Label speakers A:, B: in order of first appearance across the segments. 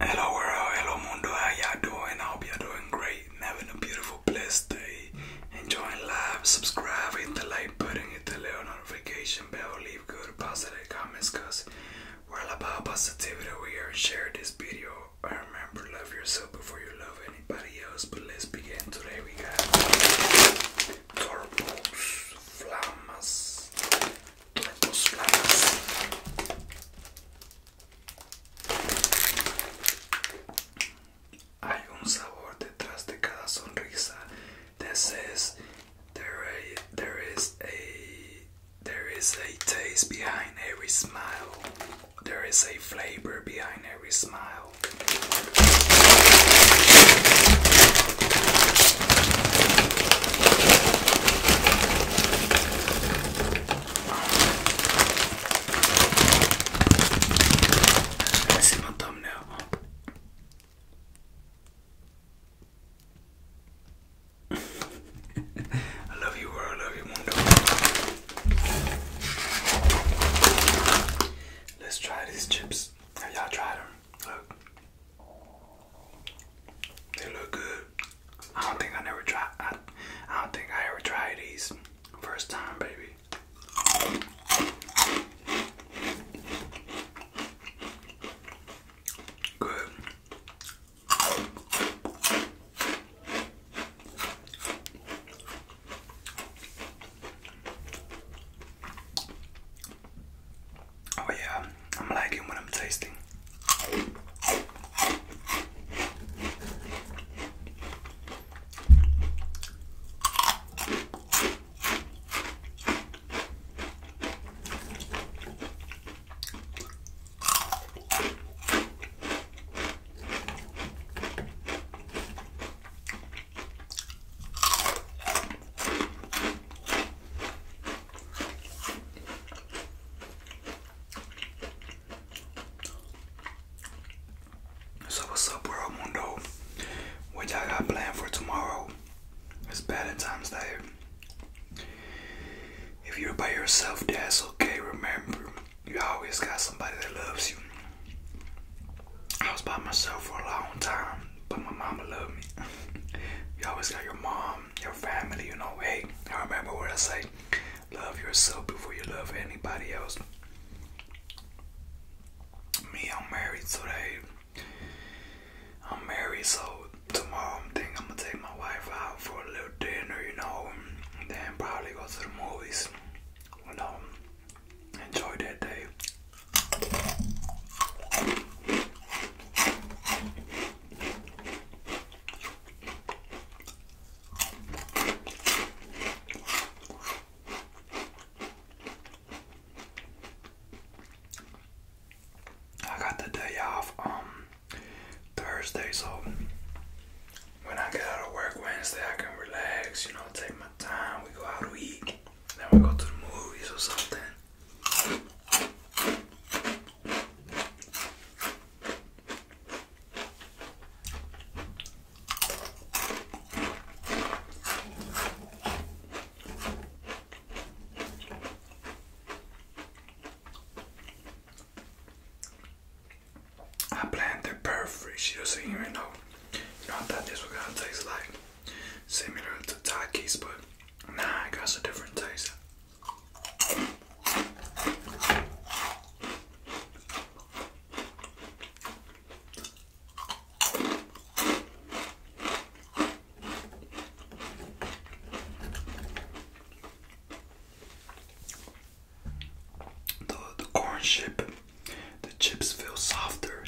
A: Hello world, hello mundo, how y'all doing? I hope you are doing great and having a beautiful, blessed day. Enjoying life. subscribe, hit the like button, hit the little notification bell, leave good positive comments cause we're all about positivity We are sharing this video I remember love yourself before you love anybody else. But let's begin today. We got Torbos, Flamas, those A,
B: there is there is a taste behind every smile. There is a flavor behind every smile. I see my thumbnail. I love you, world. I love you, mundo. Let's try these chips. y'all tried them? They look good. I don't think I never tried. I
A: don't think I ever tried these. First time, baby. Good. Oh yeah, I'm liking what I'm tasting. So what's up world mundo? What y'all got planned for tomorrow? It's bad times Day. If you're by yourself, that's okay. Remember, you always got somebody that loves you. I was by myself for a long time, but my mama loved me. you always got your mom, your family, you know. Hey, I remember what I say love yourself before you love anybody else. Me, I'm married today. I'm married, so tomorrow I'm thinking I'm gonna take my wife out for a little dinner, you know, and then probably go to the movies. You know, Enjoy that day. I got the day off um, Thursday, so when I get out of work Wednesday, I can relax, you know, take my we go out to eat, then we go to the movies or something. I planned it perfect. She doesn't even know. You know, I thought this was gonna taste like similar to Takis, but nah, it got a different taste the, the corn chip, the chips feel softer.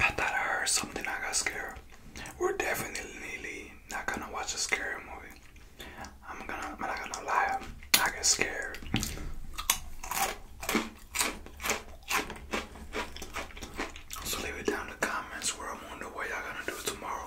A: I thought I heard something. I got scared. We're definitely not gonna watch a scary movie. I'm gonna. I'm not gonna lie. I get scared. So leave it down in the comments where I wonder what y'all gonna do tomorrow.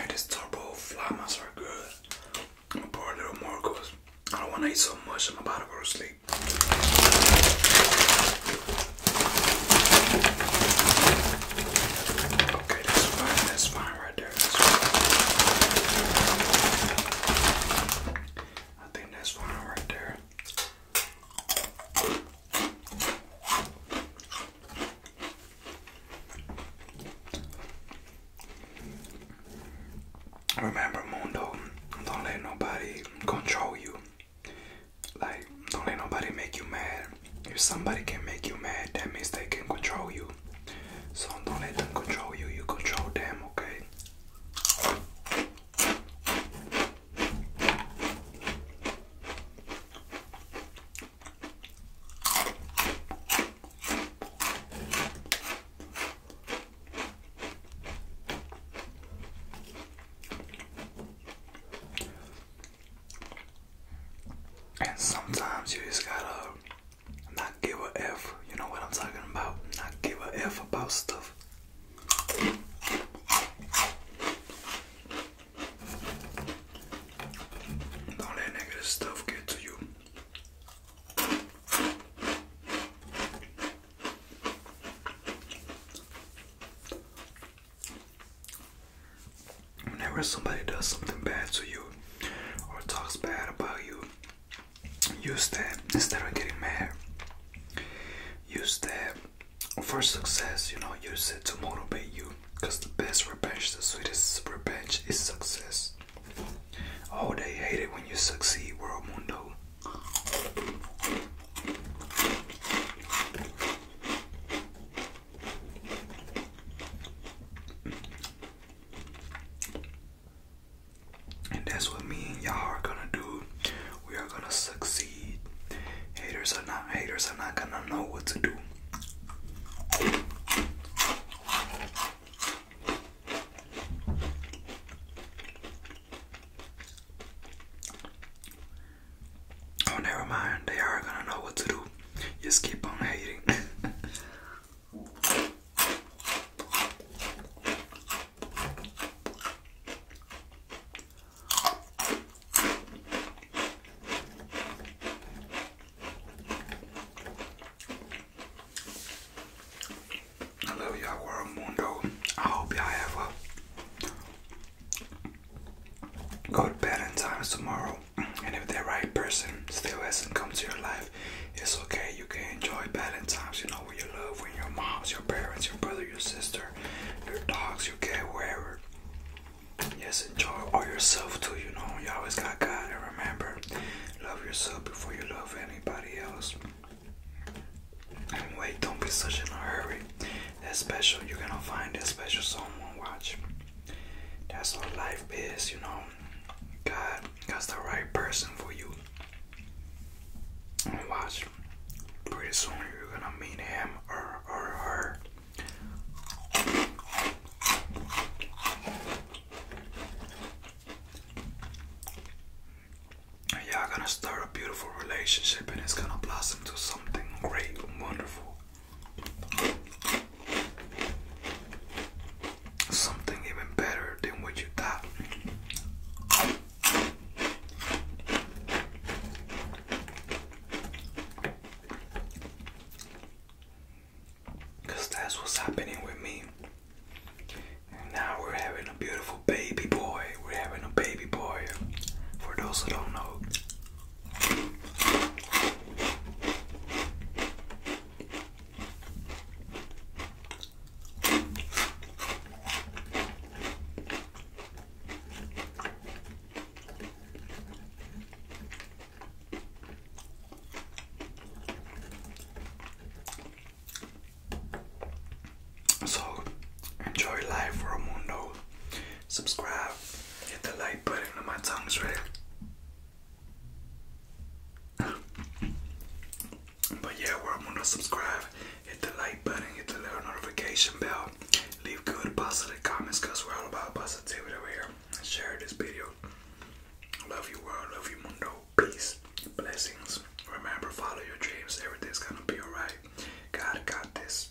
A: And these turbo fly are good. i pour a little more because I don't want to eat so much. I'm about to go to sleep. Okay, that's fine. That's fine right there. I think that's fine right there. Remember, Mundo, don't let nobody control you. Like, don't let nobody make you mad. If somebody can make you mad, that means they can control you. So don't let them control you, you control them, okay? And sometimes you just gotta not give a F. You know what I'm talking about? Not give a F about stuff. Don't let negative stuff get to you. Whenever somebody does something bad to you or talks bad about you, use that instead of getting mad use that for success, you know, use it to motivate you. Because the best revenge, the sweetest revenge is success. Oh, they hate it when you succeed, world mundo. And that's what me and y'all are gonna do. We are gonna succeed. Haters are not haters are not gonna know what to do. Oh never mind, they are gonna know what to do. Just keep on hating. I love y'all world mundo. I hope y'all have a good bed and time tomorrow. And if the right person still hasn't come to your life, it's okay. You can enjoy bad times. you know, with your love, with your moms, your parents, your brother, your sister, your dogs, your cat, wherever. Yes, enjoy all yourself too, you know. You always got God and remember, love yourself before you love anybody else. And wait, don't be such in a hurry. That special, you're gonna find that special someone. Watch. That's what life is, you know. God, that's the right person for you. And watch, pretty soon you're gonna meet him or, or her. yeah, gonna start a beautiful relationship and it's gonna blossom to something great and wonderful something even better than what you thought. that's what's happening with me. And now we're having a beautiful baby boy. We're having a baby boy. For those who don't know, so enjoy life, Romundo. Subscribe, hit the like button, and my tongue's ready but yeah, we're gonna subscribe, hit the like button, hit the little notification bell, leave good positive comments because we're all about positivity over here. Share this video. Love you world, love you mundo, peace, blessings. Remember, follow your dreams, everything's gonna be alright. God got this.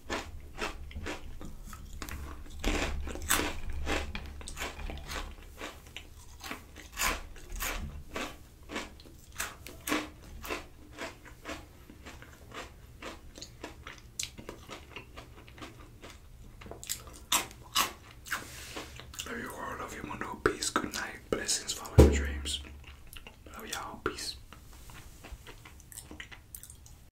A: Love you all, love you, Mundo. Peace, good night. Blessings, follow your dreams. Love y'all. Peace.